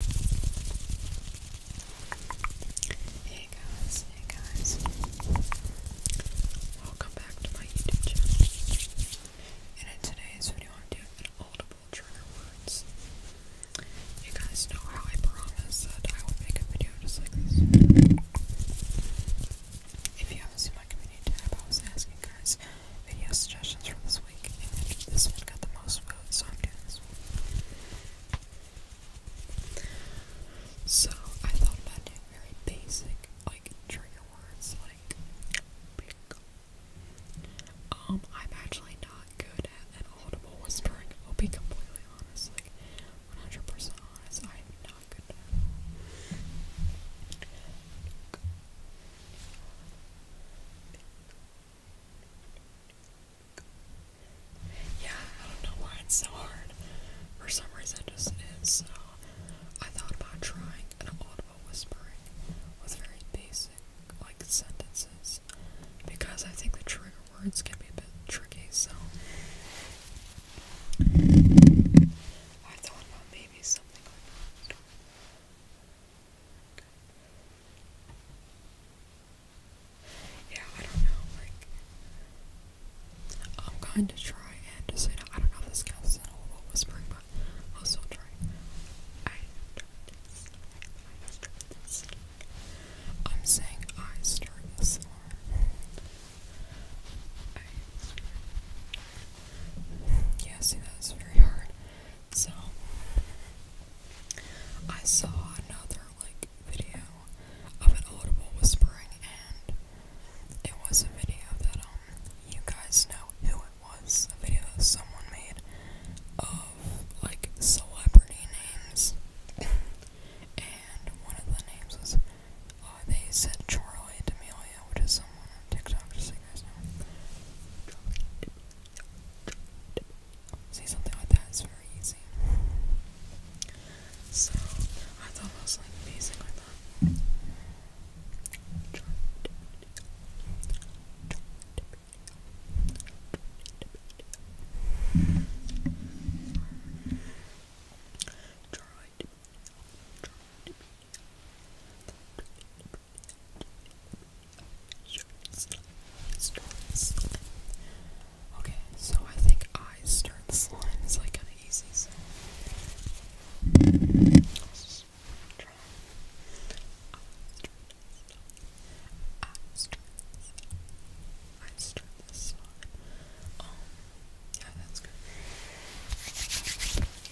Hey guys, hey guys. Welcome back to my YouTube channel. And in today's video I'm doing an trigger words. You guys know how I promise that I will make a video just like this. If you haven't seen my community tab, I was asking guys video suggestions for this so I'm I thought about very basic, like trigger words, like um, I'm actually not good at an audible whispering. I'll be completely honest, like 100% honest. I am not good yeah, I don't know why it's so hard. For some reason, it just is. I thought about trying an audible whispering with very basic, like, sentences because I think the trigger words can be a bit tricky. So, I thought about maybe something like that. Yeah, I don't know. Like, I'm going to try and just, say, know, I don't know if this counts as an horrible whispering, but I'll still try. I I am saying I start this alarm. Yeah, see, that's very hard. So I saw another like video of an audible whispering and it was a video that um you guys know who it was. A video that someone made of like celebrity names. and one of the names was uh, they said Charlie D'Amelio yeah, what is someone on TikTok? Just so you guys know. See, something like that is very easy. So, I thought it was like basic like that. Tried. Tried. Okay, so I think eyes turn slime is like kinda easy, so let's just try. Eyes turn slime. Eyes turn slime. Um yeah, that's good.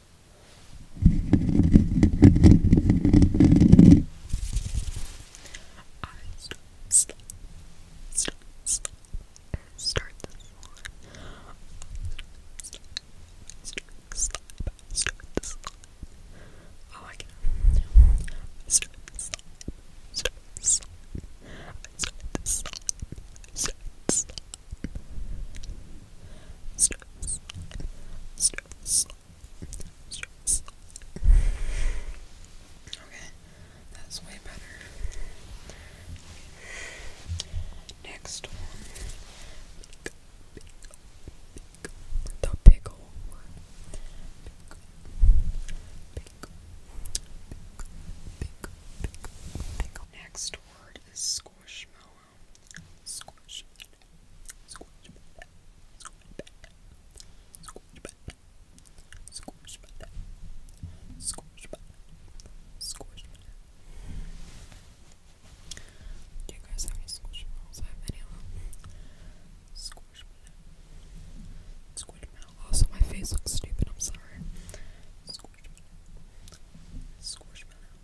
I start, start, start, start, start this line. Start, start, start, start this line. Oh, I can. I start this line. Start this line. I start this line. I start this line stress, stress, stress. Okay, that's way better. Next one. The pickle. Next word is squishmallow. Squash. Do you guys have any squash balls? Also, my face looks stupid. I'm sorry. Squash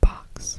Box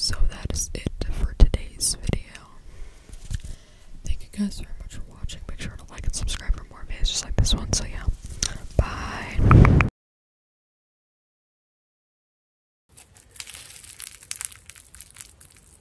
So that is it for today's video. Thank you guys very much for watching. Make sure to like and subscribe for more videos like this one. So yeah. Bye.